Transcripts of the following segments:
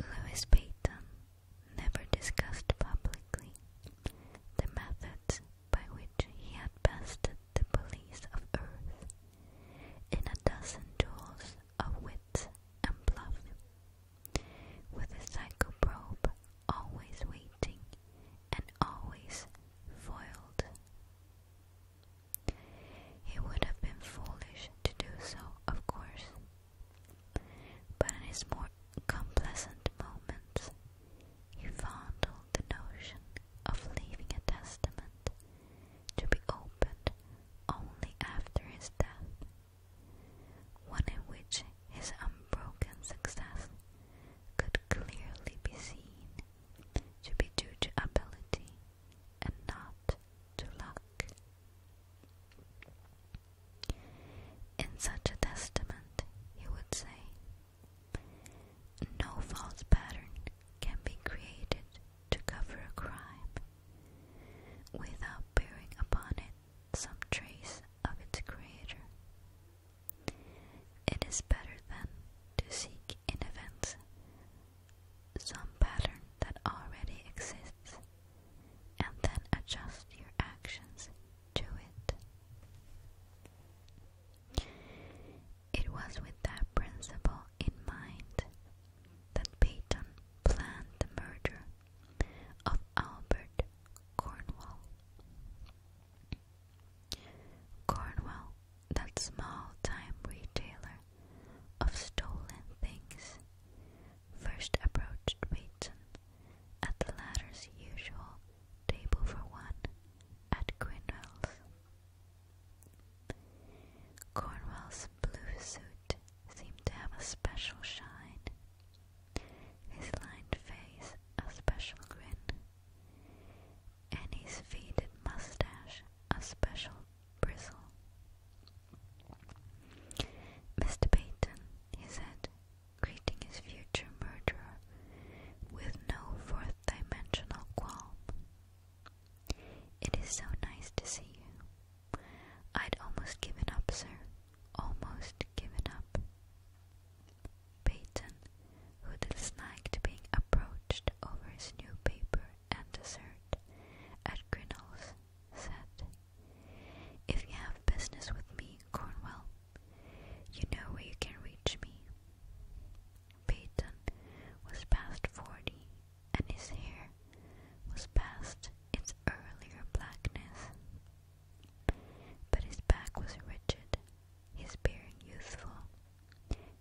Lewis Paton never discussed publicly the methods by which he had bested the police of Earth in a dozen duels of wit and bluff, with a psychoprobe always waiting and always foiled. He would have been foolish to do so, of course, but in his more complacent moments, he fondled the notion of leaving a testament to be opened only after his death, one in which his unbroken success could clearly be seen to be due to ability and not to luck. In such a testament, he would say, No false pattern can be created to cover a crime without bearing upon it some trace of its creator. It is better then to seek in events some pattern that already exists and then adjust your actions to it. It was with that principle in mind that Peyton planned the murder of Albert Cornwall. Cornwall, that small time retailer of stolen things, first approached Bateson at the latter's usual table for one at Cornwall's. Cornwall's blue suit seemed to have a special shine, his lined face a special grin, and his faded mustache a special bristle. Mr. Payton," he said, greeting his future murderer with no fourth dimensional qualm. It is so nice to see you. I'd almost given up, sir. Almost given up. Payton, who disliked being approached over his new paper and dessert at Grinnell's, said, If you have business with me, Cornwell, you know where you can reach me. Peyton was past forty, and his hair was past its earlier blackness. But his back was rigid, his bearing youthful,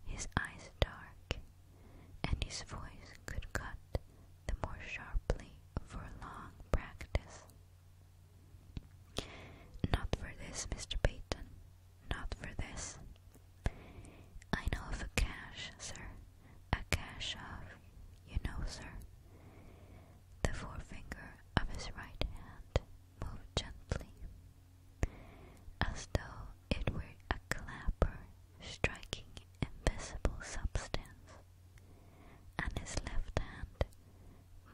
his eyes dark, and his voice could cut the more sharply for long practice. Not for this, Mr. Payton. not for this. I know of a cash, sir, a cash of, you know, sir. The forefinger of his right hand moved gently, as though it were a clapper striking invisible substance and his left hand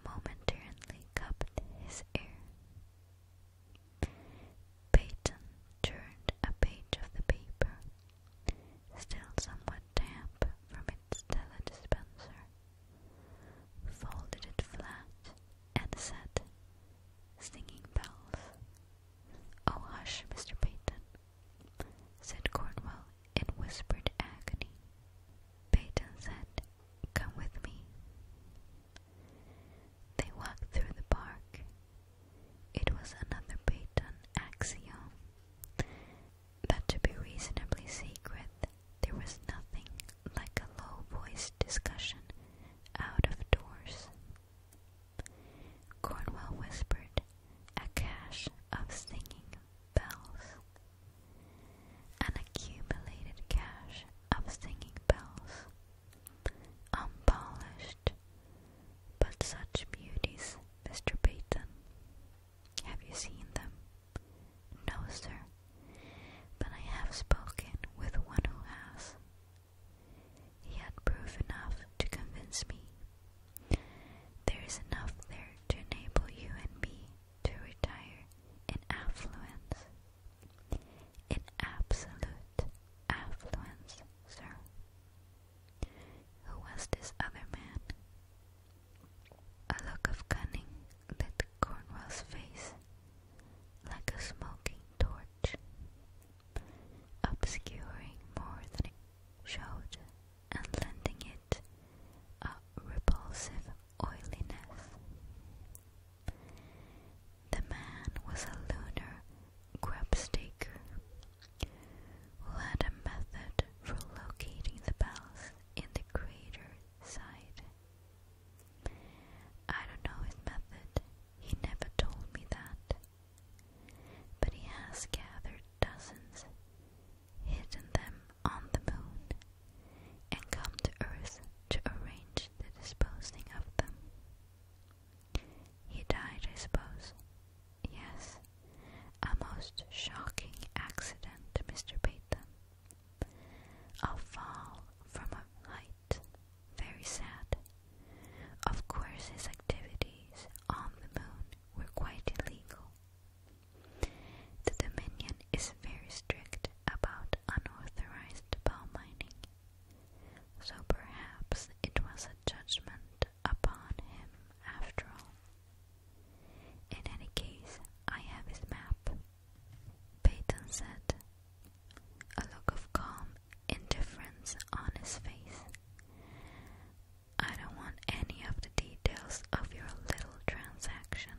momentarily cupped his ear. Peyton turned a page of the paper, still somewhat damp from its teledispenser, folded it flat, and said, singing bells. Oh, hush, Mr. Peyton, said Cornwall in whispered agony. Peyton said, Come with me. They walked through the park. It was another Peyton axiom that to be reasonably secret, there was nothing like a low voiced discussion out of doors. Cornwall whispered, a cache of singing bells, an accumulated cache of singing bells, unpolished, but such beauties, Mr. Peyton. Have you seen them? No, sir, but I have spoken with one who has. He had proof enough to convince me there is enough there to enable you and me to retire in affluence. In absolute affluence, sir. Who was this other man? A look of cunning lit Cornwall's face like a smoking torch, obscuring more than it showed and lending it a repulsive oiliness. The man was a lunar grubstaker who had a method for locating the bells in the crater side. I don't know his method, he never told me that but he has gathered dozens, hidden them on the moon, and come to Earth to arrange the disposing of them. He died, I suppose. Yes, a most shocking accident, Mr. Peyton. A fall from a height. Very sad. Of course, his activities on the moon were quite illegal. The Dominion is very strict about unauthorized pearl mining, so perhaps it was a judgment upon him after all. In any case, I have his map. Peyton said, a look of calm indifference on his face. I don't want any of the details of your little transaction.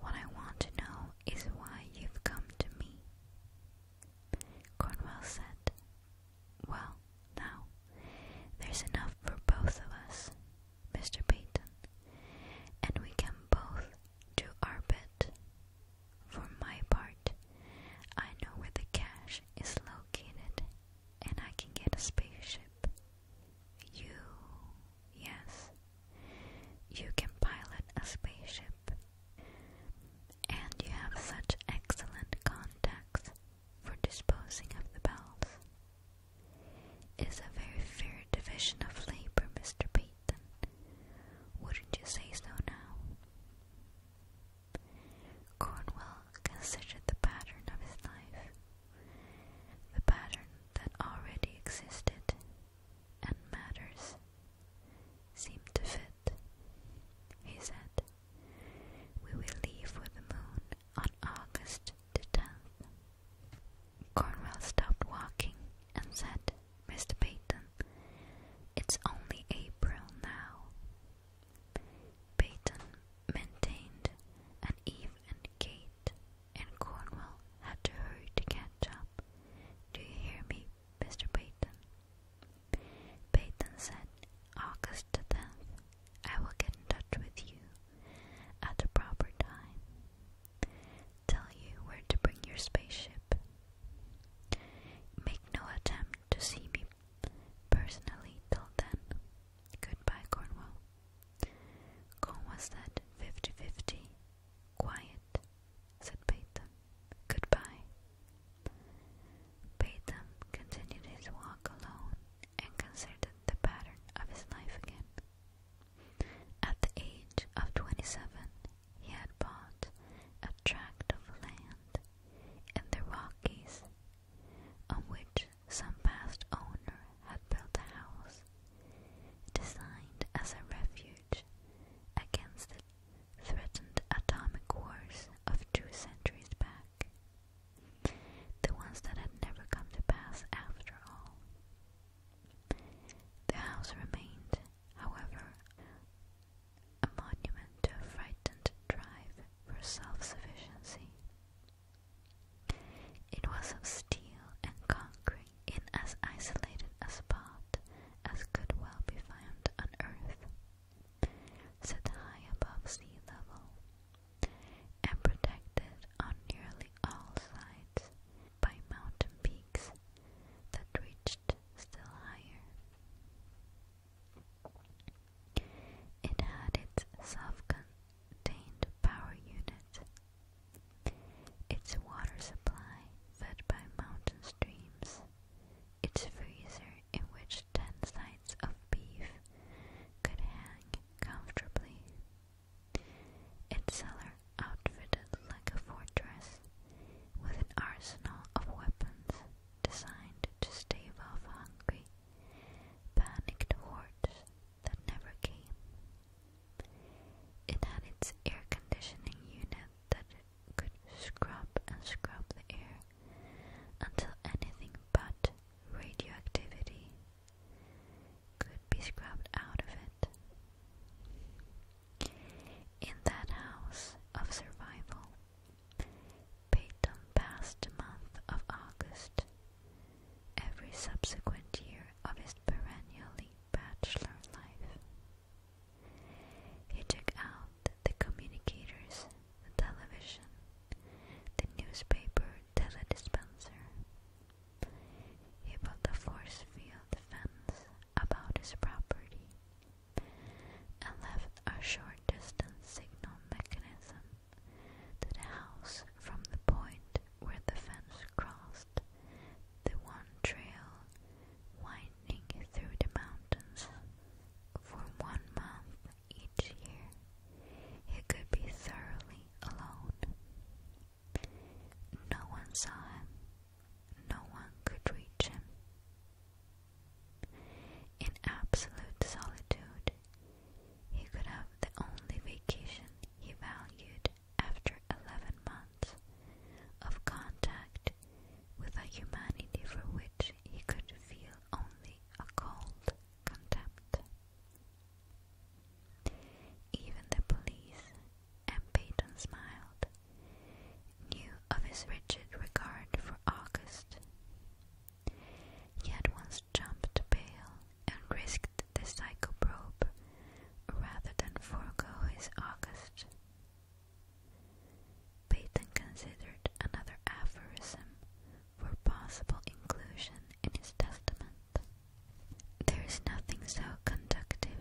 What I want to know is why you've come to me. Cornwell said, Well, now, there's enough for both of us, Mr. Payton, and we can both do our bit. For my part, I know where the cash is located and I can get a spaceship. You, yes, you can pilot a spaceship. And you have such excellent contacts for disposing of the bells. It's a very fair division of labor, Mr. Peyton. Wouldn't you say so now? Cornwell considered the pattern of his life, the pattern that already existed and matters seemed to fit. He said, We will leave for the moon on August the 10th. Cornwell stopped walking and said, Mr. Peyton, it's only April now. Peyton maintained an even gait, and Cornwall had to hurry to catch up. Do you hear me, Mr. Peyton? Peyton said, August the 10th, I will get in touch with you at the proper time. Tell you where to bring your spaceship. Make no attempt to see me Personally, till then, goodbye Cornwall. Cornwall said fifty fifty. Quiet, said Batham. Goodbye. Batham continued his walk alone and considered the pattern of his life again. At the age of twenty seven, he had bought a tract of land in the Rockies on which some past owner had built a house designed as a refuge against the threatened atomic wars of two centuries back. The ones that had never come to pass after all. The house remained, however, a monument to a frightened drive for self sufficiency it was of steel and concrete, in as isolated a spot as could well be found on earth, set high above sea level, and protected on nearly all sides by mountain peaks that reached still higher. It had its self Taint Power Unit. Its water supply fed by mountain streams. Its freezer in which ten sides of beef could hang comfortably. Its cellar outfitted like a fortress with an arsenal of weapons designed to stave off hungry panicked hordes that never came. It had its air conditioning unit that could scrub and scrub the air until anything but radioactivity could be scrubbed out of it. In that house of survival, Payton passed month of August. Every subsequent year of his perennially bachelor life. He took out the communicators, the television, the newspaper teledispenser. He put a force field fence about his property and left a short distance signal mechanism to the house from the point where the fence crossed the one trail winding through the mountains. For one month each year, he could be thoroughly alone. No one saw him, no one could reach him. In absolute solitude, he could have the only vacation he valued after 11 months of contact with a humanity for which he could feel only a cold contempt. Even the police, and Payton smiled, knew of his rigid regard for August. Yet once jumped bail and risked the psychoprobe rather than forego his August. Peyton considered another aphorism for possible inclusion in his testament. There is nothing so conductive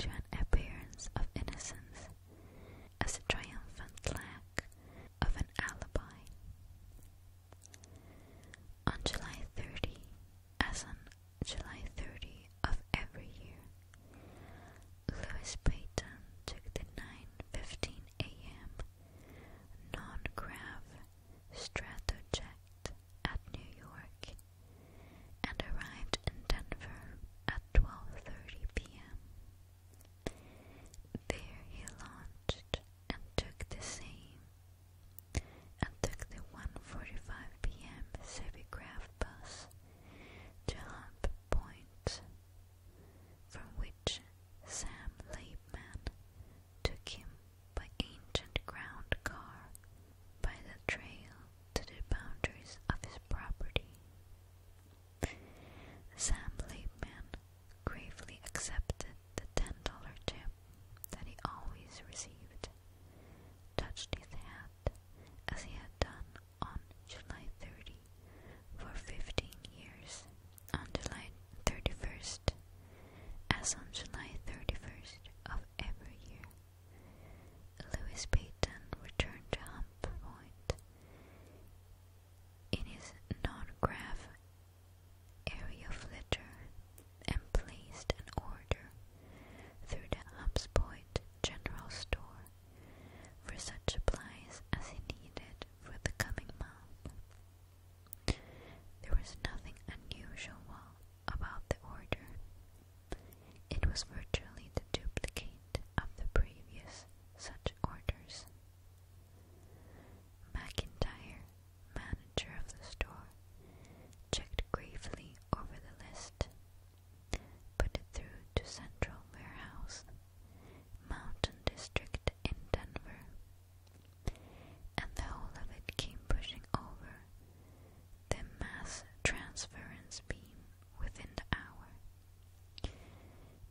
to an appearance of innocence as a triumphant lack of an alibi. On July 30, as on July 30 of every year, Louis Payton took the 9:15 a.m. non-grav stratojet at New York and arrived in Denver at 12:30 p.m. There he launched and took the same, and took the 1.45 p.m. Sevigraph bus to Hump Point, from which Sam Layman took him by ancient ground car by the trail to the boundaries of his property. Sam Laidman gravely accepted the ten dollar tip that he always received, touched his hat as he had done on July 30 for 15 years, on July 31st, as on July 31st of every year. Louis Payton returned to Hump Point in his non graph area flitter, and placed an order through the Hubsport General Store for such supplies as he needed for the coming month. There was nothing unusual about the order. It was virtually the duplicate of the previous such orders. McIntyre, manager of the store, checked gravely over the list, put it through to Central Warehouse, Mountain District in Denver, and the whole of it came pushing over the mass transference beam within the hour.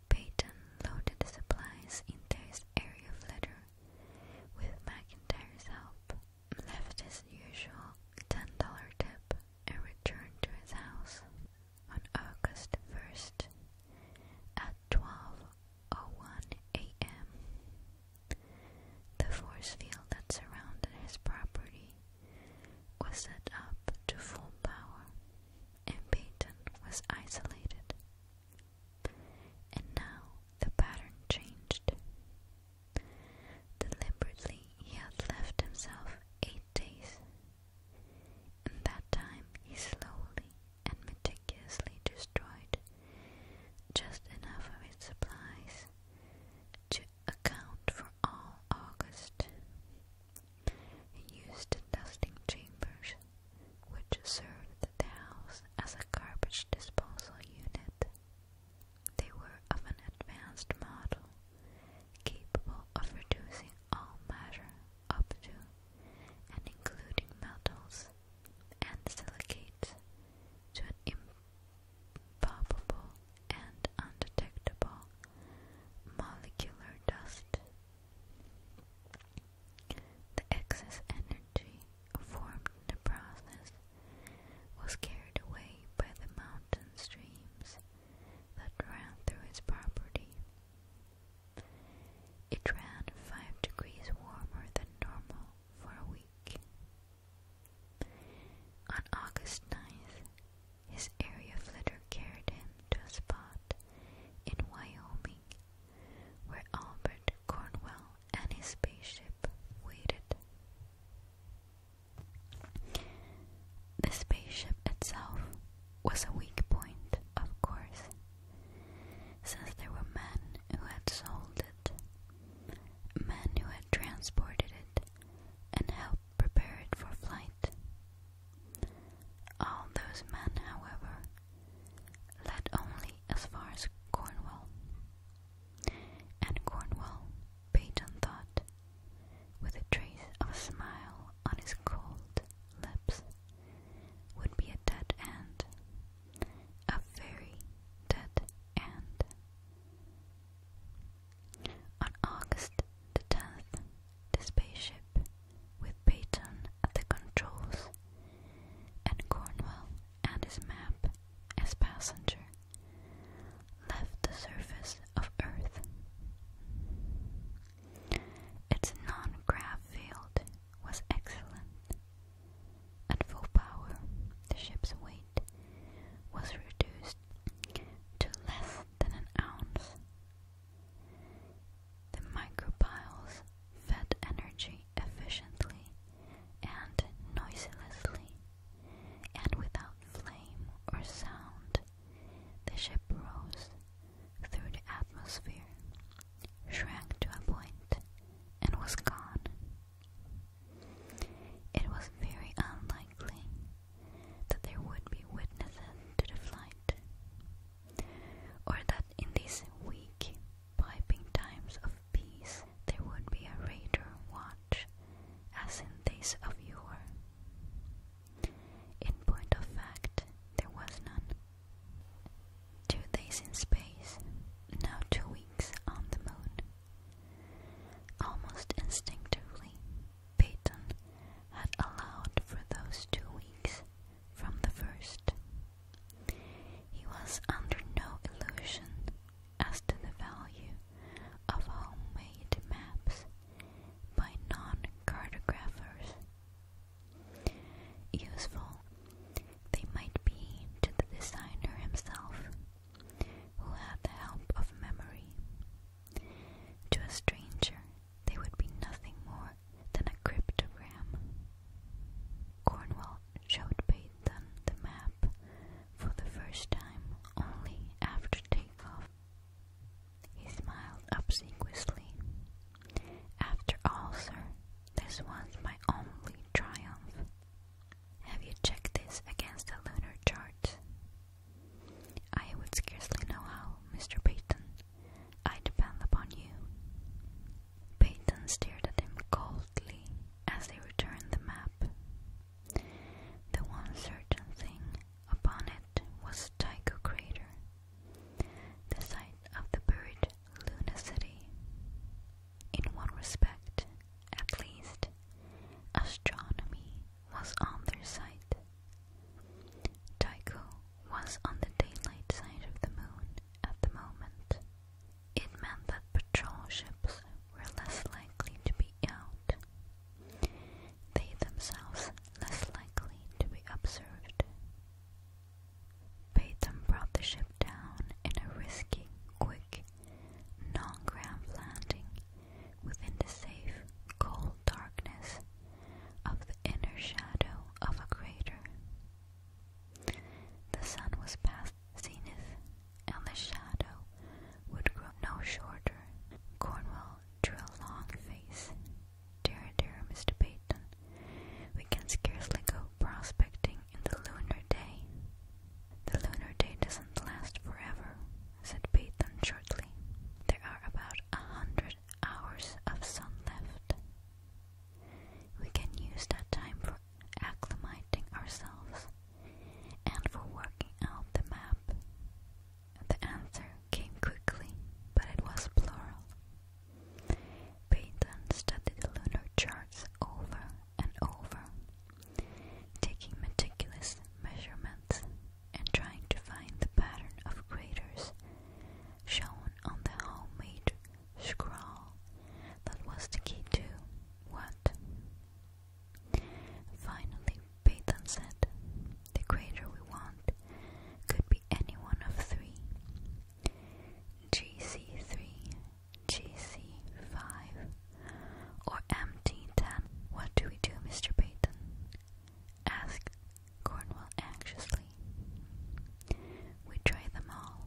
Peyton loaded the supplies into his area of letter with McIntyre's help, left his usual $10 tip and returned to his house on August 1st at 12.01 a.m. The force field that surrounded his property was set up to full power, and Payton was isolated. And now the pattern changed. Deliberately, he had left himself eight days. In that time, he slowly and meticulously destroyed just enough of his supplies to account for all August. He used the dusting chambers which served the house as a garbage disposal unit. They were of an advanced model, capable of reducing all matter up to and including metals and silicates to an impalpable and undetectable molecular dust. The excess energy formed in the process was carried away by the mountain streams that ran through its property. It ran five degrees warmer than normal for a week. On August 9th, his area flitter carried him to a spot in Wyoming where Albert Cornwell and his spaceship waited. The spaceship itself was a weak point, of course, since there were men who had sold it, men who had transported it, and helped prepare it for flight. All those men, however, led only as far as Cornwall. And Cornwall, Payton thought, with a trace of a smile on his cold lips, would be a dead end. A very dead end. On August the 10th, the spaceship, with Payton at the controls, and Cornwall and his map as passenger left the surface of Earth. Its non-grav field was excellent. At full power, the ship's weight was reduced to less than an ounce. The micropiles fed energy efficiently and noiselessly, and without flame or sound, the ship rose through the atmosphere, shrank to a point, and was gone. It was very unlikely that there would be witnesses to the flight, or that in these weak piping times of peace there would be a raider watch, as in days of yore. In point of fact, there was none. Two days in space, now two weeks on the moon. Almost instinctively, Peyton had allowed for those two weeks from the first. He was under no illusion as to the value of homemade maps by non cartographers. Useful they might be to the designer himself, who had the help of memory. To a stranger, they would be nothing more than a cryptogram. Cornwall showed Peyton the map for the first time only after takeoff. He smiled obsequiously. After all, sir, this was my only triumph. Have you checked this against the lunar chart? I would scarcely know how, Mr. Payton. I depend upon you. Payton stared at him coldly as they returned the map. The one certain thing upon it was Tycho Crater, the site of the buried Luna City. In one respect, at least, astronomy was on their side. Tycho was on the daylight side of the moon at the moment, it meant that patrol ships were less likely to be out, they themselves less likely to be observed. Batham brought the ship down in a risky, quick, non-ground landing within the safe, cold darkness of the inner shadow of a crater. The sun was past zenith, and the shadow would grow no shorter. Cornwall drew a long face. Dear, dear Mr. Payton," we can scarcely go prospecting in the lunar day. The lunar day doesn't last forever, said Payton shortly. There are about a hundred hours of sun left. We can use that time for acclimating ourselves and for working out the map. The answer came quickly, but it was plural. Peyton studied the lunar charts over and over, taking meticulous measurements and trying to find the pattern of craters shown on the homemade scrawl. That was the key to what? Finally, Peyton said, The creator we want could be any one of three GC3, GC5, or MT10. What do we do, Mr. Peyton? asked Cornwall anxiously. We try them all,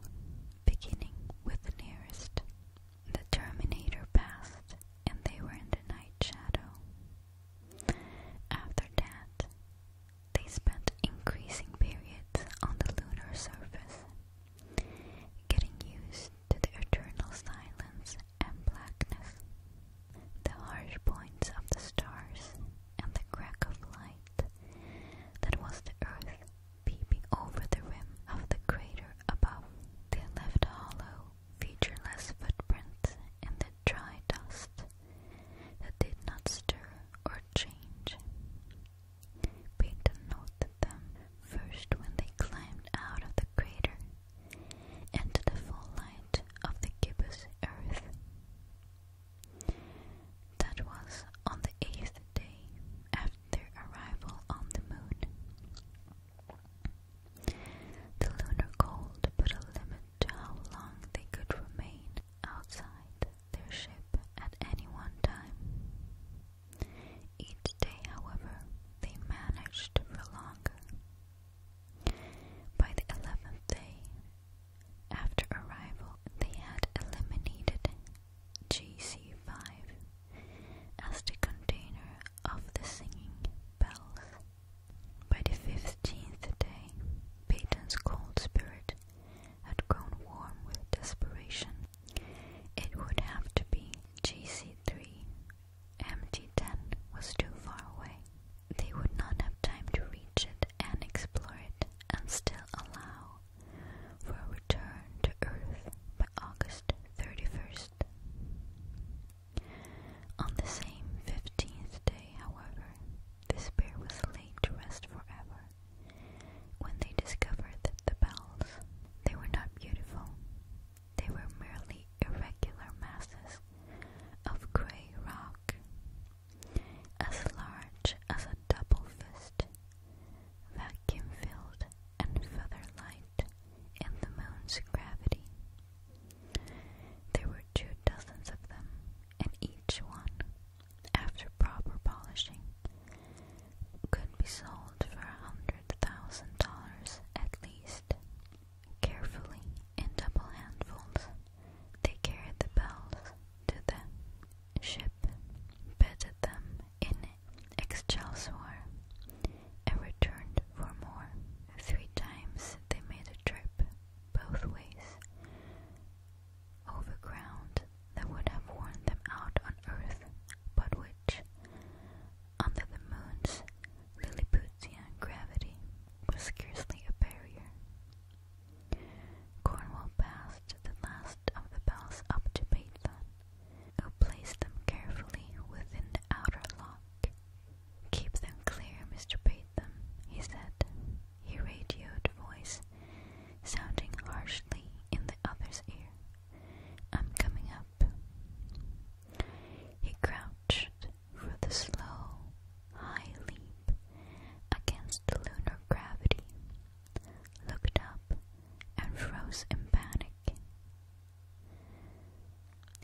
beginning with the nearest. The Terminator passed, and they were in the night shadow. After that, they spent increasing periods on the lunar surface, getting used to the eternal silence and blackness. The harsh points of the stars and the crack of light that was the earth peeping over the rim of the crater above. They left hollow, featureless footprints in the dry dust that did not stir or change. Peyton noted them first when they climbed out of the crater into the full light of the gibbous earth. That was on the eighth day after their arrival on the moon. The lunar cold put a limit to how long they could remain outside their ship at any one time. Each day, however, they managed to prolong. By the eleventh day, after arrival, they had eliminated GC5 as the container of the singing bells. By the fifteenth day, Peyton's cold spirit had grown warm with desperation. It would have to be GC3. MT10 was too far away. They would not have time to reach it and explore it and still allow for a return to Earth by August 31st. On the same 15th day, however, this pair was laid to rest forever when they discovered that the bells, they were not beautiful. They were merely irregular masses of grey rock, as large as a double fist, vacuum filled and feather light in the moon's gravity. There were two dozens of them, and each one, after proper polishing, could be sold for a hundred thousand dollars at least. Carefully, in double handfuls, they carried the bells to the ship, bedded them in Excelsior and returned for more. Three times they made a trip both ways over ground that would have worn them out on earth, but which, under the moon's Lilliputian gravity, was scarcely a barrier. Cornwall passed the last of the bells up to Baitha, who placed them carefully within the outer lock. Keep them clear, Mr. Batham, he said. He voice, sounding harshly in the other's ear. I'm coming up. He crouched for the slow, high leap against lunar gravity, looked up, and froze in panic.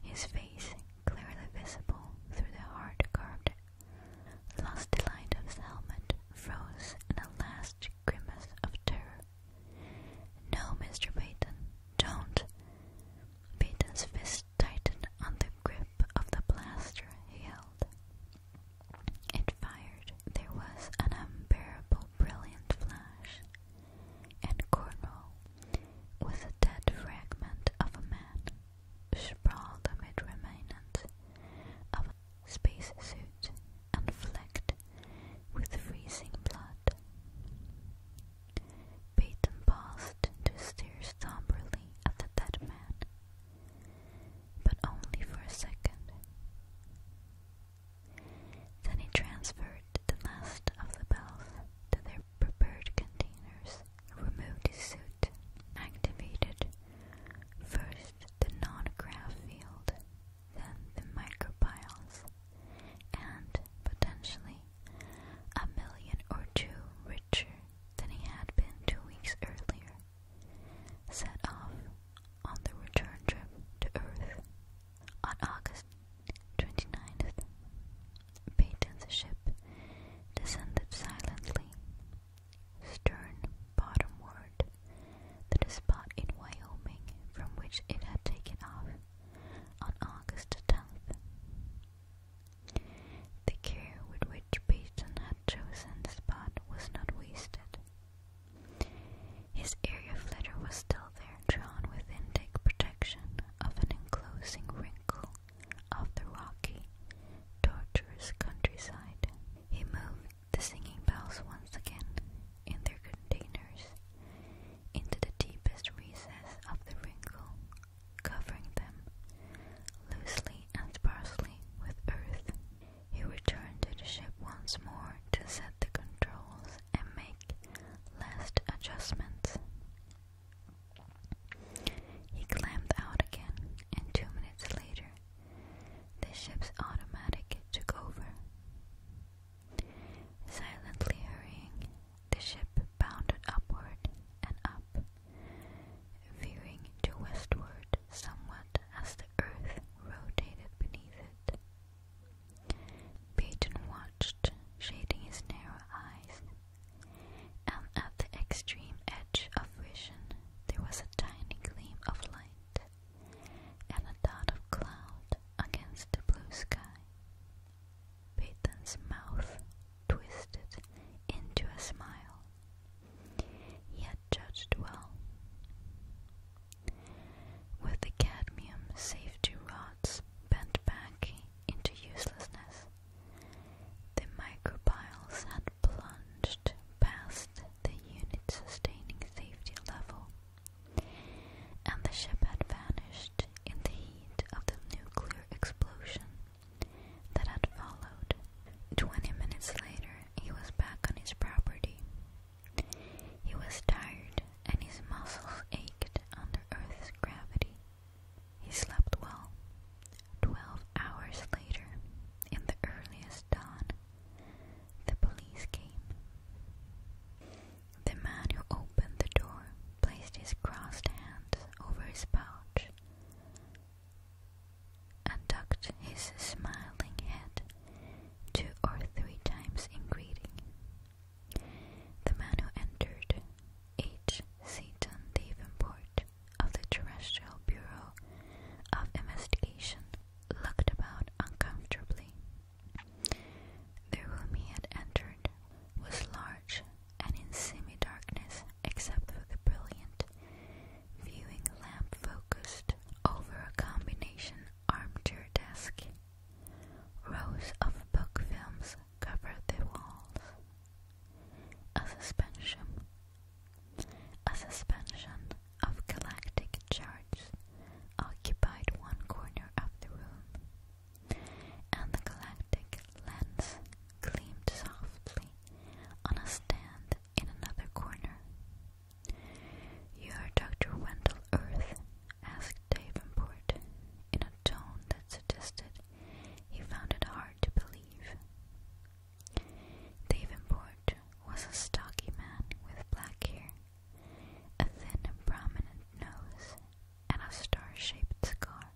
His face clearly visible through the hard carved lusty-light of his helmet froze in a last grimace of terror. No, Mr. Payton, don't. Payton's fist tightened on the grip of the blaster he held. It fired. There was an unbearable, brilliant flash and Cornwall was a dead fragment of a man sprawled amid remnants of a spacesuit and flecked with freezing blood. Peyton paused to stare somberly at the dead man, but only for a second. Then he transferred the last of the belts to their prepared containers, removed his suit, activated first the non-graph field, then the micropiles, and potentially a million or two richer than he had been two weeks earlier, set off on the return trip to Earth. On August 29th, Peyton's ship descended silently, stern bottomward, to the spot in Wyoming from which it had taken off on August 10th. The care with which Peyton had chosen the spot was not wasted. His area flitter was still there, drawn within thick protection of an enclosing wrinkle of the rocky, tortuous countryside. He moved the singing bells once again in their containers into the deepest recess of the wrinkle, covering them loosely and sparsely with earth. He returned to the ship once more to set the controls and make last adjustments. He clamped out again, and two minutes later, the ship's automatic took over. Silently hurrying, the ship bounded upward and up, veering to westward somewhat as the earth rotated beneath it. Payton watched, shading his narrow eyes, and at the extreme edge of vision there was a tiny gleam of light and a dot of cloud against the blue sky. Payton's mouth twisted into a smile. He had judged well. With the cadmium safety rods bent back into uselessness, the microbiles had plunged past the unit's sustaining safety level, and the ship had vanished in the heat of the nuclear explosion that had followed. Twenty minutes later, he was back on his property, he was tired and his muscles ached under Earth's gravity. He slept well. Twelve hours later, in the earliest dawn, the police came. The man who opened the door placed his crossed hands over his pouch and tucked his smiling head two or three times in greeting. The man who entered, H. Seaton Davenport of the Terrestrial Bureau of Investigation, looked about uncomfortably. The room he had entered was large and in semi darkness except for the brilliant viewing lamp focused over a combination armchair desk Rows of book films covered the walls. A suspension. A suspension of galactic charts occupied one corner of the room, and the galactic lens gleamed softly on a stand in another corner. You're Dr. Wendell Earth, asked Davenport in a tone that suggested he found it hard to believe. Davenport was a stocky man with black hair, a thin and prominent nose, and a star-shaped scar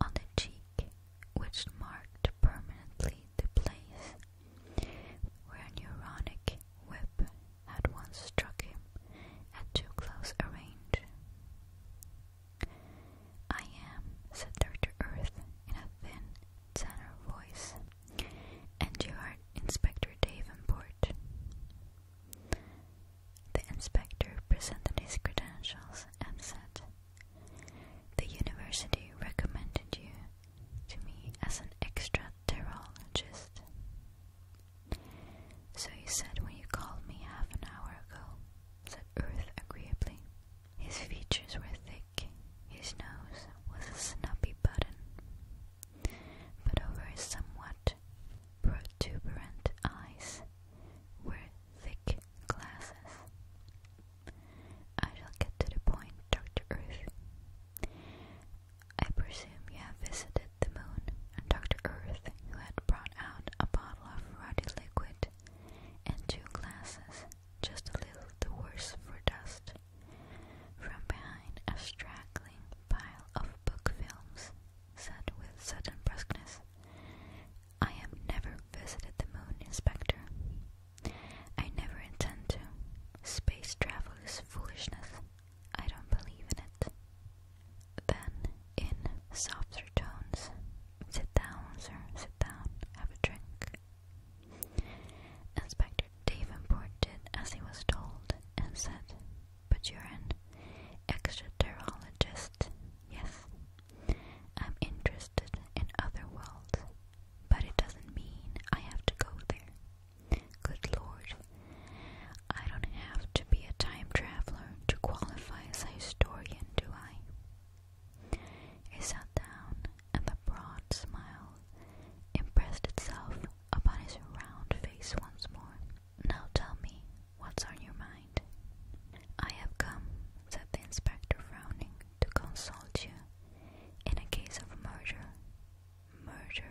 on the cheek which marked permanently the place where a neuronic whip had once struck him at too close a range. I am, said Dr. Earth in a thin tenor voice, and you are Inspector Davenport. The inspector presented his credentials and said, The university recommended you to me as an extraterologist. So you said when you called me half an hour ago, said Earth agreeably. His features were thick, his nose was a snubby button, but over his somewhat protuberant eyes were thick glasses. I shall get to the point, Dr. Earth. I presume you have visited the moon Dr. Earth, who had brought out a bottle of ruddy liquid and two glasses, just a little the worse for dust, from behind a straggling pile of book films, said with sudden brusqueness. I have never visited the moon, Inspector. I never intend to. Space travel is foolishness. I don't believe in it. Then, in softer tones, sit down, sir, sit down, have a drink. Inspector Davenport did as he was told and said, But you're an extraterologist, yes. I'm interested in other worlds, but it doesn't mean I have to go there. Good lord, I don't have to be a time traveler to qualify as a historian, do I? He sat down, and the broad smile impressed itself upon his round face once more. Now tell me, what's on your mind? I have come, said the inspector, frowning, to consult you in a case of murder. Murder.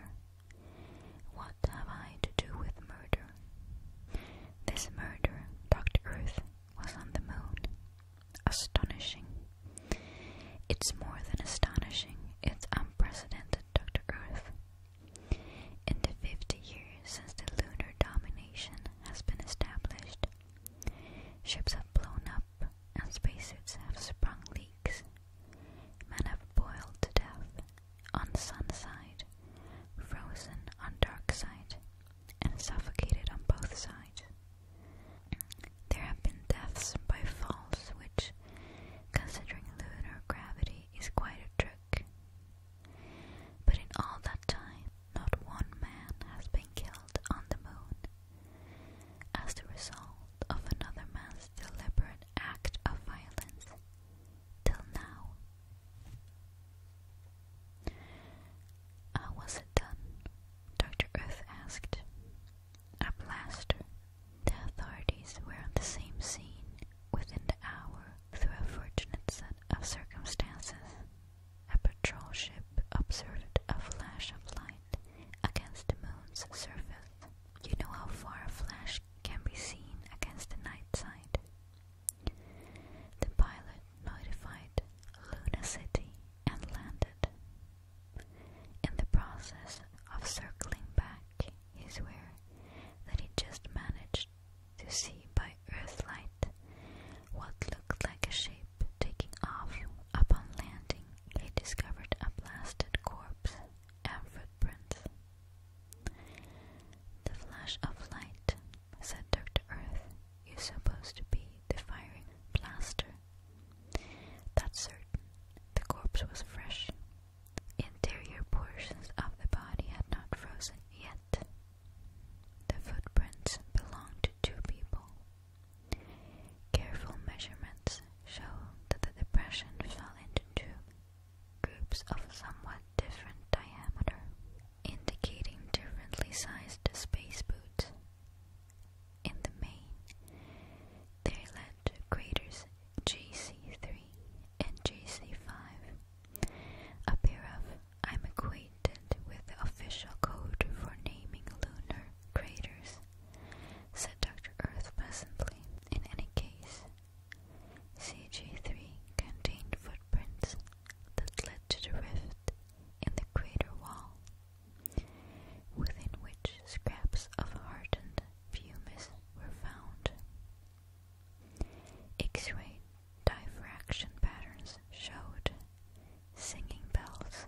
What have I to do with murder? This murder, Dr. Earth, was on the moon. Astonishing. It's more than astonishing, it's unprecedented, Dr. Earth. In the 50 years since the lunar domination has been established, ships have blown up and spacesuits have sprung leaks Men have boiled to death on sun side, frozen on dark side, and suffocated on both sides. There have been deaths by falls, which, considering lunar gravity, is quite a trick. But in all that time, not one man has been killed on the moon as the result of another man's deliberate act of violence till now. How uh, was it done? Dr. Earth asked. A blaster. The authorities were on the same scene within the hour through a fortunate set of circumstances. A patrol ship observed a flash of light against the moon's surface. You know how far a flash can be seen against the night side. The pilot notified Luna City and landed. In the process of circling back, he's aware that he just managed to see by Earth light what looked like a shape taking off. Upon landing, he discovered a blasted corpse and footprints. The flash of light, said Dr. Earth, is supposed to be the firing blaster. That's certain. The corpse was fresh. Interior portions of the body had not frozen yet. The footprints belong to two people. Careful measurements show that the depression fell into two groups of somewhat different diameter, indicating differently sized space boots. In the main, they led to craters J 3 and J 5 a pair of I'm acquainted with the official code for naming lunar craters, said Dr. Earth pleasantly. In any case, CG3 contained footprints that led to the rift in the crater wall, within which scraps of hardened pumice were found. X-ray diffraction patterns showed singing bells,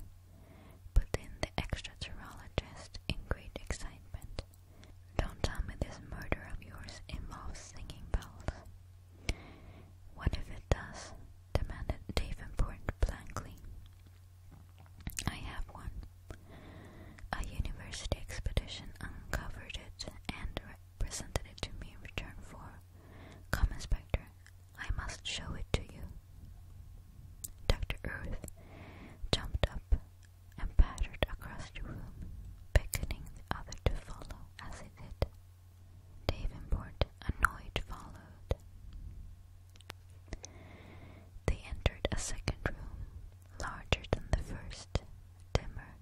but in the extraterologist in great excitement don't tell me this murder of yours involves singing bells. What if it does? demanded Davenport blankly. I have one. A university expedition uncovered it and presented it to me in return for. Come, Inspector, I must show it to you. Dr. Earth jumped up and pattered across the room, beckoning the other to follow as he did. Davenport, annoyed, followed. They entered a second room, larger than the first, dimmer,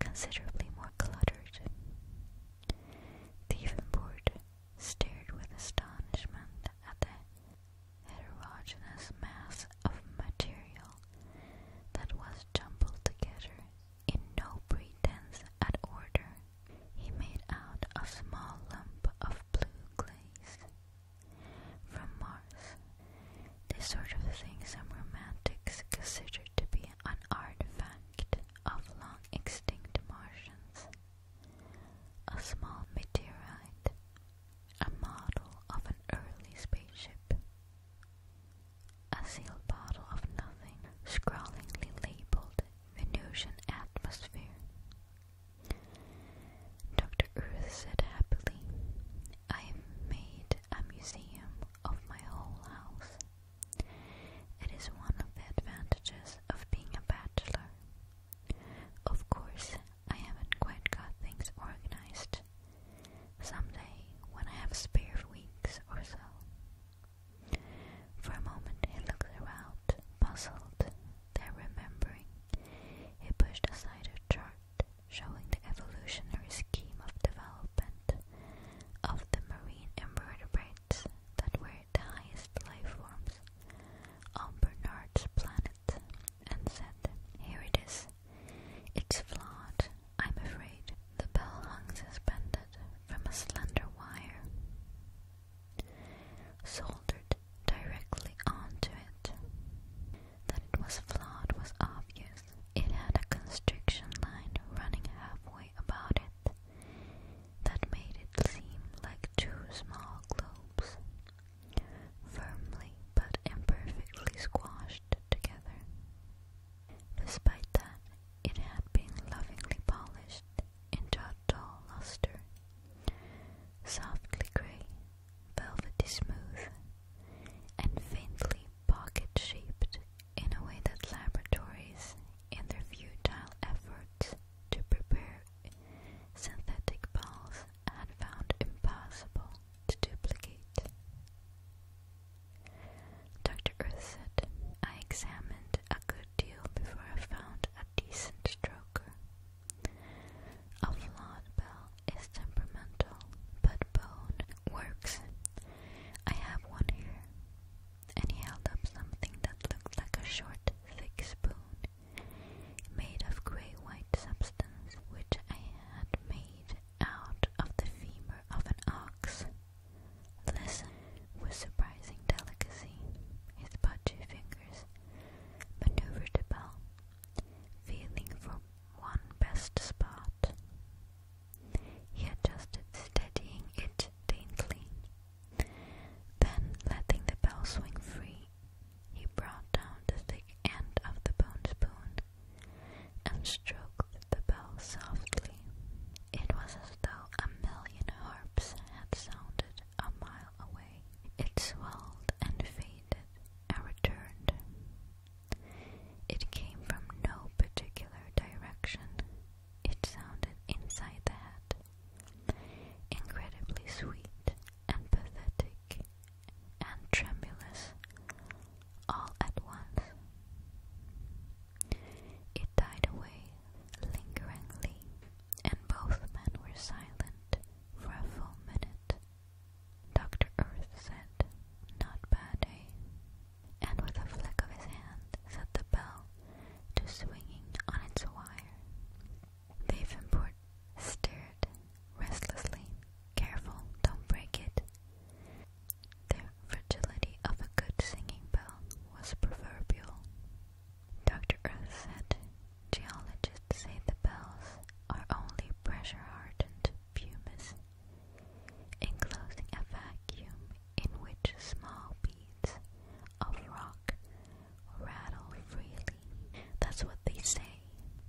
considerably more cluttered. Davenport stared with astonishment at the heterogeneous mass of material that was jumbled together in no pretense at order. He made out a small lump of blue glaze from Mars. This sort of thing some romantics consider to be an artifact of long extinct Martians. A small meteorite, a model of an early spaceship. A sealed bottle of nothing, scrawlingly labeled Venusian atmosphere. Dr. Earth said happily, I have made a museum of my whole house. It is one of the advantages of being a bachelor. Of course, I haven't quite got things organized, Someday, when I have spare weeks or so. For a moment he looked around, puzzled, then remembering, he pushed aside a chart showing the evolutionary scheme of development of the marine invertebrates that were the highest life forms on Bernard's planet and said, Here it is. It's flawed, I'm afraid. The bell hung suspended from a slender wire, soldered directly onto it. That it was flawed was obvious. It had a constriction line running halfway about it that made it seem like two small globes, firmly but imperfectly squashed together. Despite that, it had been lovingly polished into a dull luster, softly grey, velvety smooth, and faintly pocket-shaped in a way that laboratories, in their futile efforts to prepare synthetic balls, had found impossible to duplicate. Dr. Earth said, I examined a good deal before I found a decent stroker. A flawed bell is temperamental, but bone works. I have one here. And he held up something that looked like a short, thick spoon made of grey white substance, which I had made out of the femur of an ox. Listen with surprising delicacy. His pudgy fingers maneuvered the bell, feeling for one best spot. He adjusted, steadying it daintily. Then, letting the bell swing free, he brought down the thick end of the bone spoon and stroked the bell softly. It was as though a million harps had sounded a mile away. It swelled and faded and returned. It came from no particular direction. It sounded inside the hat. incredibly sweet and pathetic and tremulous, all at once. It died away lingeringly, and both men were silent for a full minute. Dr. Earth said, Not bad, eh? And with a flick of his hand, set the bell to swinging on its wire. Davenport stared restlessly. Careful, don't break it. The fragility of a good singing bell was proverbial. Dr. Earth said, Geologists say the bells are only pressure-hardened pumice, enclosing a vacuum in which small beads of rock rattle freely. That's what they say,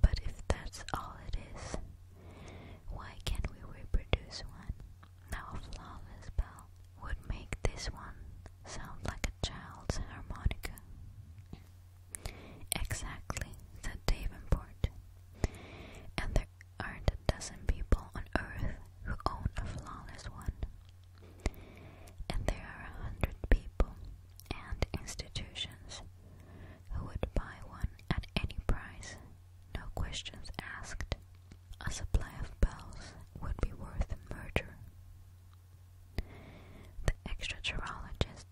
but if that's all it is, why can't we reproduce one? Now a flawless bell would make this one sound like a child's harmonica. Exactly, said Davenport. And there aren't a dozen people on earth who own a flawless one. And there are a hundred people and institutions who would buy one at any price no questions asked. A supply of bells would be worth murder. The extra extraterologist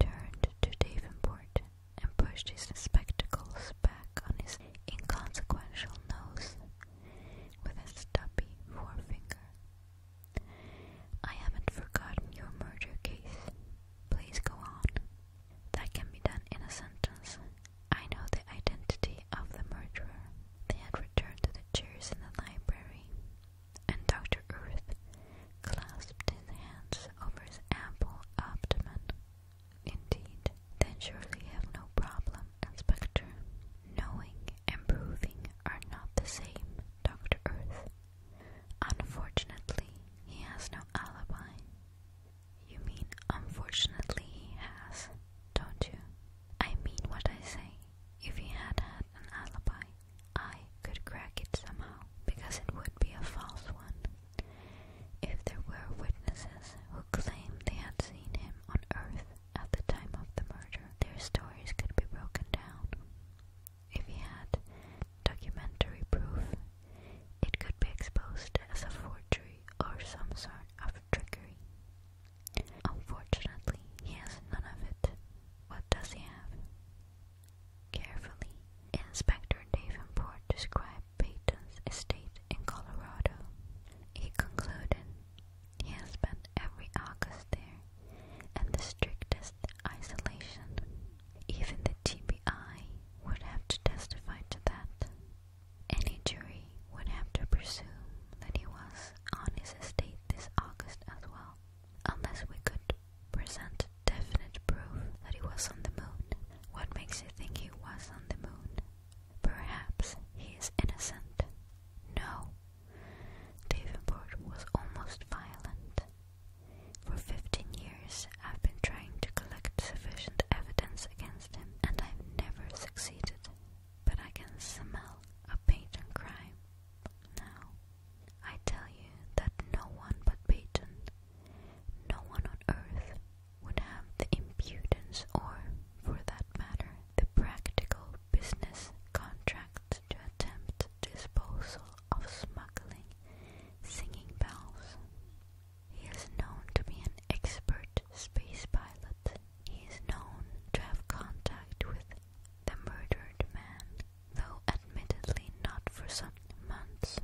turned to Davenport and pushed his spectacles back on his inconsequential nose with a stubby forefinger. I haven't forgotten your murder case, Please go on. That can be done in a sentence. I know the identity of the murderer. They had returned to the chairs in the library, and Dr. Earth clasped his hands over his ample abdomen. Indeed, then surely you have no problem, Inspector. Knowing and proving are not the same, Dr. Earth. Unfortunately, he has no alibi. You mean unfortunately he has, don't you? I mean what I say. If he had had an alibi, I could crack it somehow, because it would be a false one. If there were witnesses who claimed they had seen him on Earth at the time of the murder, their stories could be broken down. If he had documentary proof, it could be exposed as a forgery or some sort of trickery. Unfortunately, he has none of it. What does he have? Carefully, Inspector Davenport described Peyton's estate in Colorado. He concluded he has spent every August there in the strictest isolation. Even the TBI would have to testify to that. Any jury would have to presume that he was on his estate this August as well, unless we could present definite proof that he was on the moon. What makes you think he was on the moon? Perhaps he is innocent. No. Davenport was almost violent. For 15 years, I've been trying to collect sufficient evidence against him, and I've never succeeded. But I can smell a patent crime now. I tell you that no one but patent, no one on earth, would have the impudence or, for that matter, the practical business contract to attempt disposal of smuggling singing bells. He is known to be an expert space pilot. He is known to have contact with the murdered man, though admittedly not for some months.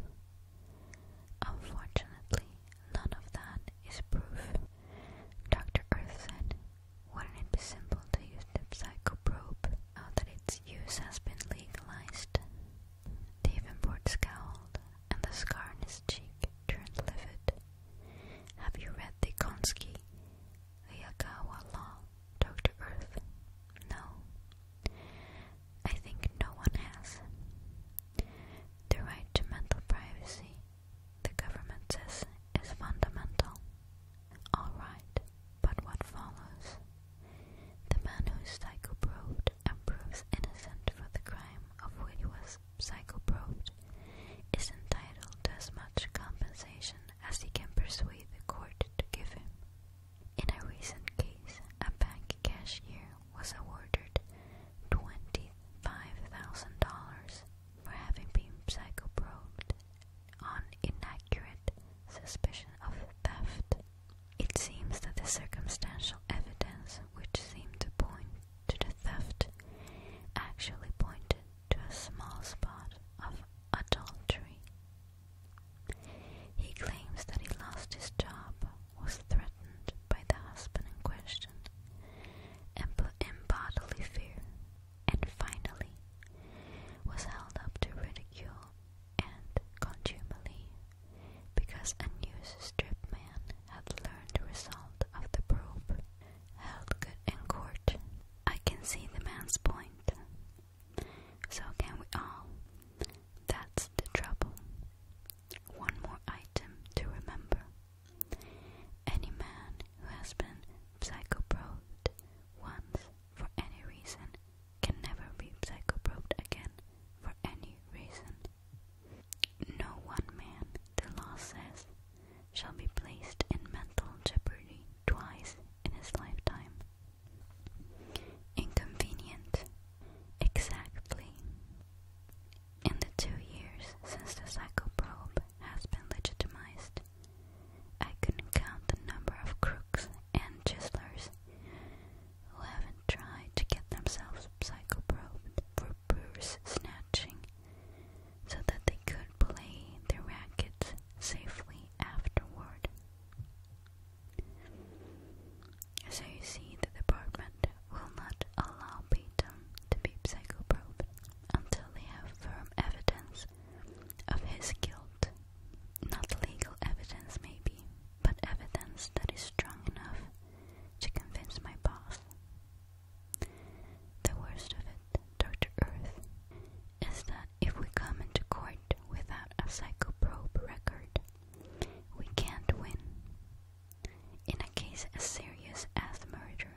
Unfortunately, none of that is proof. Dr. Earth said, Wouldn't it be simple to use the probe now that its use has been legalized? Davenport scowled and the scar on his cheek turned livid. Have you read the Konski Hayakawa Law, Dr. Earth? No. I think no one has. The right to mental privacy, the government says, is fundamental. Alright, but what follows? The man who is psychoprobed and proves innocent for the crime of which he was psychoprobed is entitled to as much compensation as he can persuade the court to give him. In a recent case, a bank cashier was awarded $25,000 for having been psychoprobed on inaccurate suspicion of theft. It seems that the circumstantial evidence which seemed to point to the theft actually pointed to a small spot of adultery. He claims that he lost his job, was threatened by the husband in question, and put in bodily fear, and finally was held up to ridicule and contumely because a news-strip man had learned the result of the probe. Held good in court. I can see the man's point. So can we all. That's the trouble. One more item to remember. Any man who has been psychoprobed once for any reason can never be psychoprobed again for any reason. No one man, the law says, shall be placed in mental jeopardy twice in his lifetime. Inconvenient. Exactly. In the two years since the probe has been legitimized, I couldn't count the number of crooks and chislers who haven't tried to get themselves psychoprobed for purse snatching so that they could play their rackets safely afterward. So you see, the department will not allow Peyton to be psychoprobed until they have firm evidence of his guilt. Not legal evidence, maybe, but evidence that is strong enough to convince my boss. The worst of it, Dr. Earth, is that if we come into court without a psychoprobe record, we can't win. In a case as serious as murder,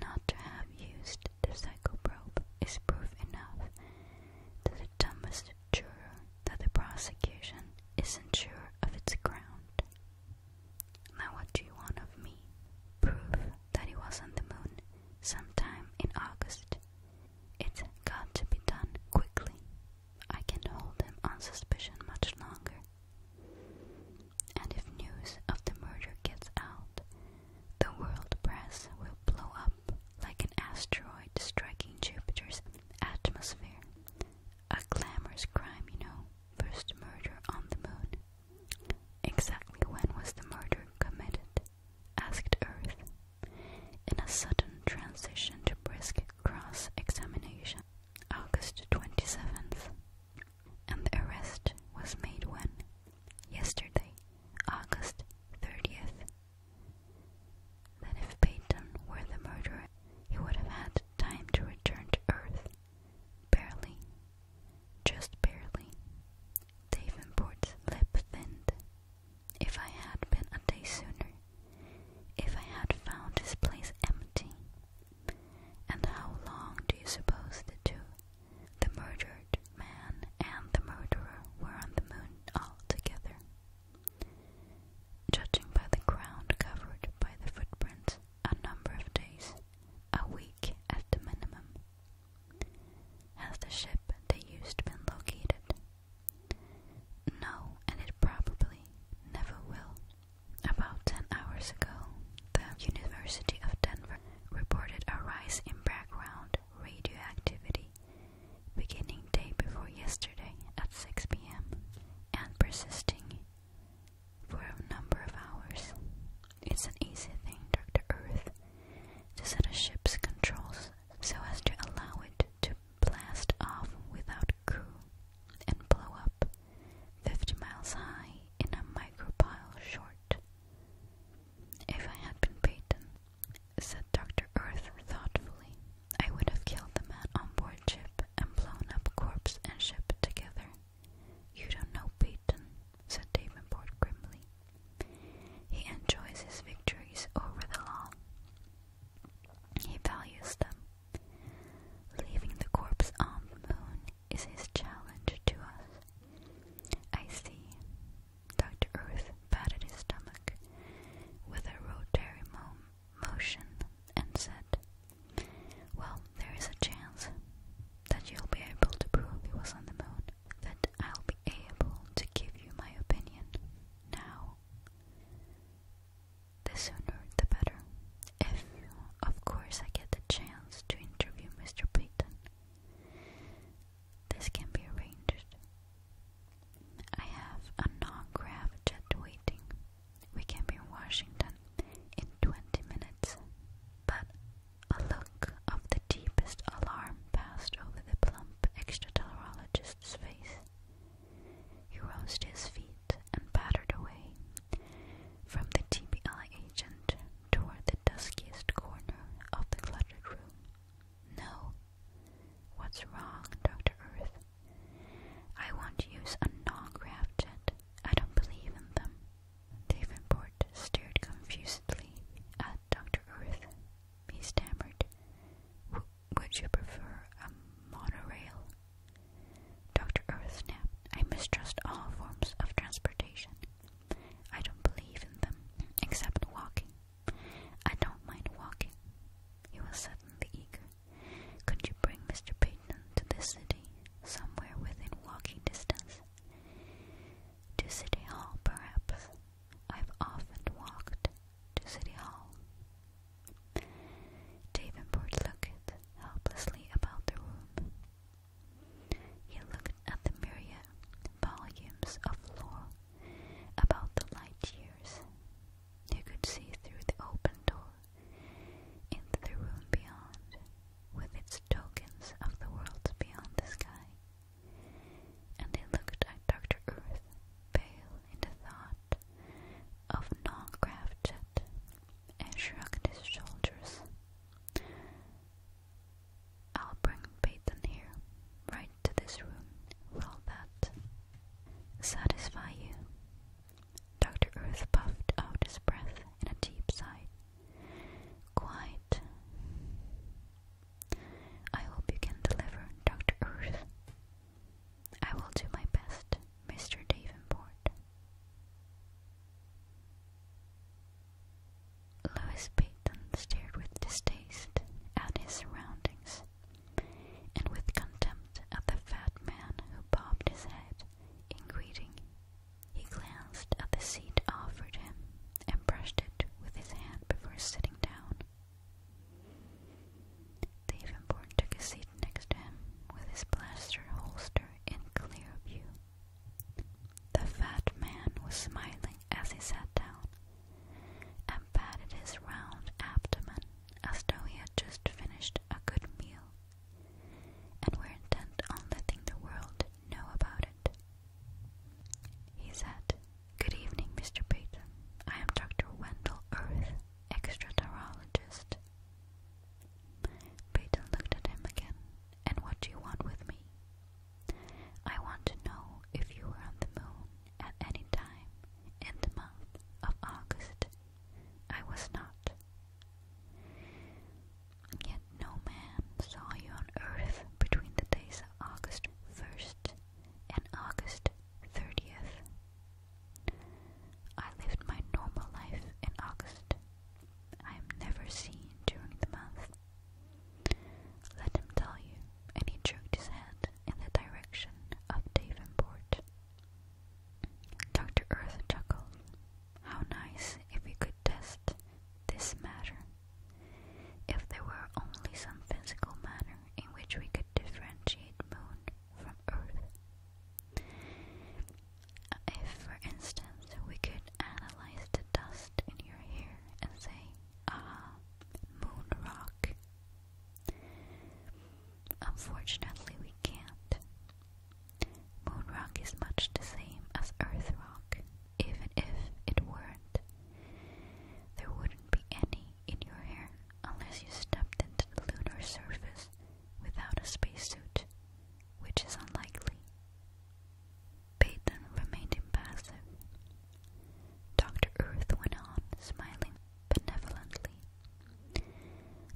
not to have used the psychoprobe is proof enough to the dumbest juror that the prosecution isn't sure of its ground. Now, what do you want of me? Proof that it was on the moon sometime in August. It's got to be done quickly. I can hold them on suspicion much longer. And if news of the murder gets out, the world press will blow up like an asteroid striking Jupiter's atmosphere a glamorous crime, you know. First murder on the moon. Exactly when was the murder committed? asked Earth. In a sudden transition to brisk cross examination, August 27th. And the arrest was made when? Yesterday, August 30th. Then, if Peyton were the murderer, he would have had time to return to Earth. Barely. Just barely. Davenport's lip thinned. If I had been a day sooner. If I had found his place empty. And how long do you suppose the two, the murdered man and the murderer, were on the moon all together? Judging by the ground covered by the footprints, a number of days, a week at the minimum. Has the ship they used been located? No, and it probably never will. About 10 hours ago, the University of Denver reported a rise in background radioactivity beginning day before yesterday at 6 p.m. and persisting for a number of hours. It's an easy thing, Dr. Earth, to set a ship's controls so as to allow it to blast off without crew and blow up 50 miles high in a micropile short. If I had been Peyton, said Dr. Earth thoughtfully, I would have killed the man on board ship and blown up corpse and ship together. You don't know Peyton, said Davenport grimly. He enjoys his victories over the law. He values them. Leaving the corpse on the moon is his challenge to us. I see. Dr. Earth patted his stomach with a rotary motion and said, well, there is a chance that you'll be able to prove he was on the moon, that I'll be able to give you my opinion now. The sooner the better. If, of course, I get the chance to interview Mr. Peyton, this can be arranged. I have a non-graph jet waiting we can be in Washington in 20 minutes. But a look of the deepest alarm passed over the plump extraterologist's face. He rose to his feet and pattered away from the TBI agent toward the duskiest corner of the cluttered room. No. What's wrong, Dr. Earth? I won't use a non graffit I don't believe in them. Davenport stared confusedly at Dr. Earth. He stammered, Would you prefer a monorail? Dr. Earth snapped, I mistrust all forms of transportation. I don't believe in them, except walking. I don't mind walking. He was suddenly eager. Could you bring Mr. Peyton to the city, somewhere within walking distance? To City Hall, perhaps. I've often walked to City Hall. Davenport looked helplessly about the room. He looked at the myriad volumes of lore about the light years. He could see through the open door into the room beyond with its tokens of the worlds beyond the sky. And they looked at Dr. Earth, pale in the thought of non-crafted, and shrugged his shoulders. I'll bring Payton here, right to this room. Will that satisfy you? Dr. Earth puffed out his breath in a deep sigh. Quite. I hope you can deliver, Dr. Earth. I will do my best, Mr. Davenport. Louis Payton stared with distaste at his surroundings and with contempt at the fat man who bobbed his head in greeting. He glanced at the seat offered him and brushed it with his hand before sitting down. Davenport took a seat next him with his blaster holster in clear view. The fat man was smiling as he sat down and patted his round abdomen as though he had just finished a good meal and were intent on letting the world know about it. He said, Good evening, Mr. Peyton. I am Dr. Wendell Earth, extraterologist. Peyton looked at him again. And what do you want with me? I want to know if you were on the moon at any time in the month of August I was not. Yet no man saw you on earth between the days August 1st and August 30th. I lived my normal life in August. I am never seen during the month. Let him tell you, and he jerked his head in the direction of Davenport. Dr. Earth chuckled. How nice if we could test this matter. If there were only some physical manner in which we could differentiate moon from Earth. If, for instance, we could analyze the dust in your hair and say, ah, moon rock. Unfortunately, we can't, Moon rock is much the same as earth rock. Even if it weren't, there wouldn't be any in your hair unless you stepped into the lunar surface without a spacesuit, which is unlikely. Peyton remained impassive. Dr. Earth went on, smiling benevolently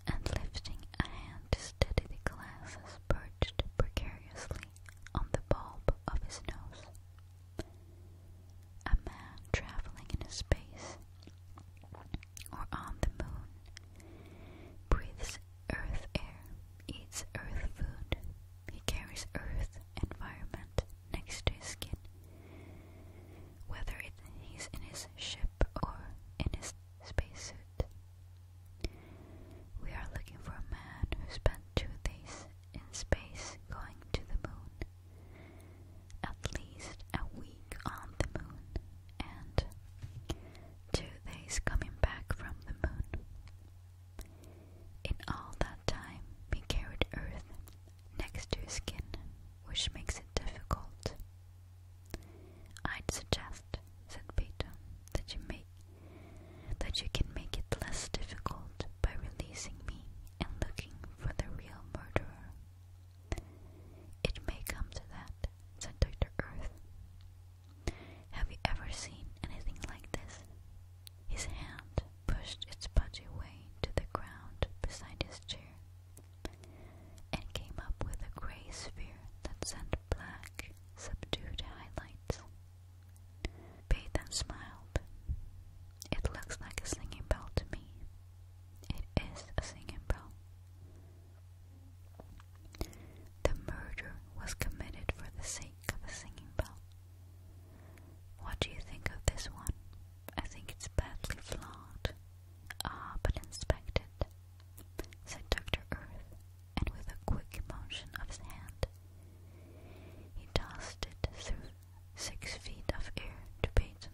and lifting a hand to steady the glasses perched precariously on the bulb of his nose. A man traveling in space or on the moon breathes earth air, eats earth food, he carries earth environment next to his skin. Whether he's in his ship or in his spacesuit. We are looking for a man who spent two days in space going to the moon. At least a week on the moon and two days coming back from the moon. In all that time, he carried Earth next to his skin, which makes it difficult I'd suggest, said Peter, that you make that you can make it less difficult by releasing me and looking for the real murderer. It may come to that, said Dr. Earth. Have you ever seen anything like this? His hand pushed its pudgy way to the ground beside his chair and came up with a gray sphere that sent black, subdued highlights. Batham smiled. It looks like a singing bell to me. It is a singing bell. The murder was committed for the sake of a singing bell. What do you think of this one? I think it's badly flawed. Ah, but inspect it, said Dr. Earth, and with a quick motion of his hand, he tossed it through six feet of air to Peyton.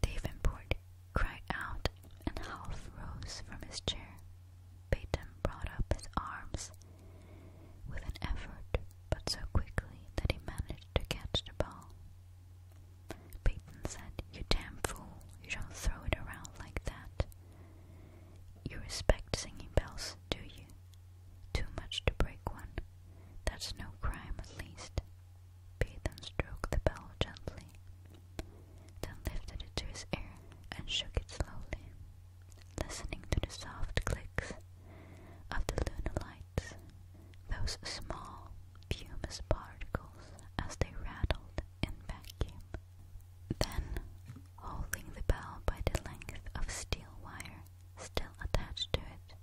Davenport cried out and half rose from his chair. Peyton brought up his arms with an effort, but so quickly that he managed to catch the ball. Peyton said, You damn fool, you don't throw it around like that. You respect singing bells, do you? Too much to break one. That's no crime, at least. Peyton stroked the bell gently, then lifted it to his ear and shook it slowly, listening to the soft clicks of the lunar lights, those small, fumous particles as they rattled and vacuum. Then, holding the bell by the length of steel wire still attached to it,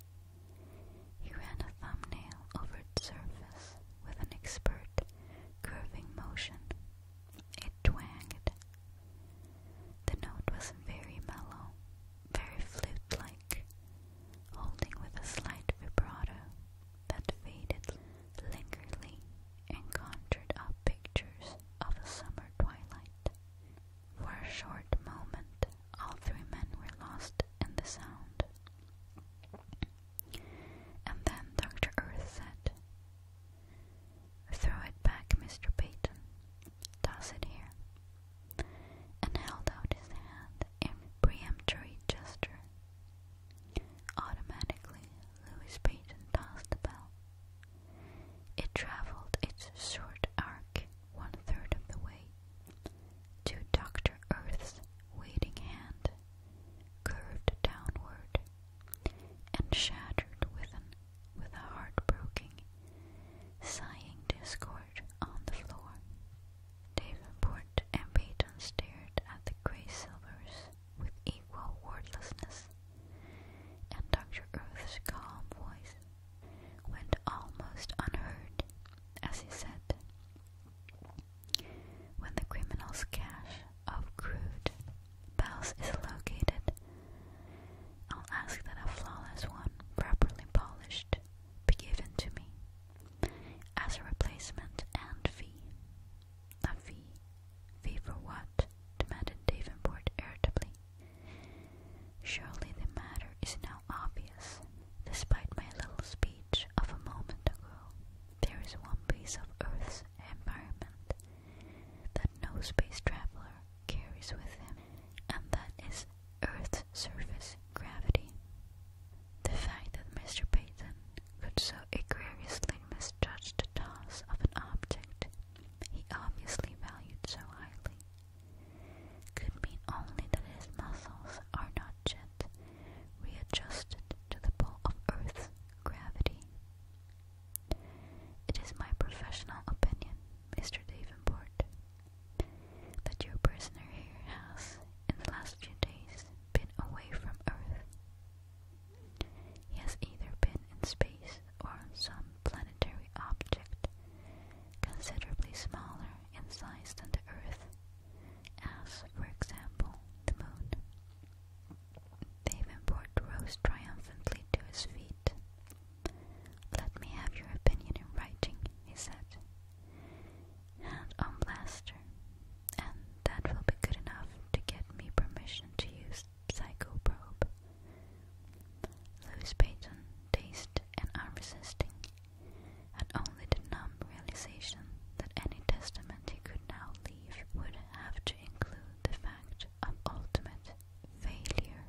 he ran a thumbnail over its surface with an expert curving motion. It twanged. The note was very mellow, very flute like, holding with a slight vibrato that faded lingeringly and conjured up pictures of a summer twilight. For a short moment, all three men were lost in the sound. And then Dr. Earth said, Throw it back, Mr. Peyton. Toss it here. And held out his hand in peremptory gesture. Automatically, Louis Payton tossed the ball. It traveled its short arc one third of the way to Dr. Earth's waiting hand, curved downward, and shattered with, an, with a heart breaking, sighing discord on the floor. Davenport and Peyton stared at the gray silvers with equal wordlessness, and Dr. Earth's calm voice went almost unheard as he said, When the criminal's cache of crude bells is located, I'll ask that a flawless one, properly polished, be given to me as a replacement and fee. A fee? Fee for what? demanded Davenport irritably. Surely the matter is now obvious. Despite my little speech of a moment ago, there is one piece of Earth's environment that no space traveler carries with him, and that is Earth's surface gravity. The fact that Mr. Peyton could so egregiously misjudge the toss of an object he obviously valued so highly could mean only that his muscles are not yet readjusted to the pull of Earth's gravity. It is my professional opinion, Mr. Davenport, that your prisoner here has, in the last few days, been away from Earth. He has either been in space or on some planetary object considerably smaller in size than the Earth, as, for example, the Moon. Davenport rose triumphantly to his feet. Let me have your opinion in writing, he said. Hand on blaster, and that will be good enough to get me permission to use Psychoprobe. Louis Payton dazed and unresisting, and only the numb realization that any testament he could now leave would have to include the fact of ultimate failure.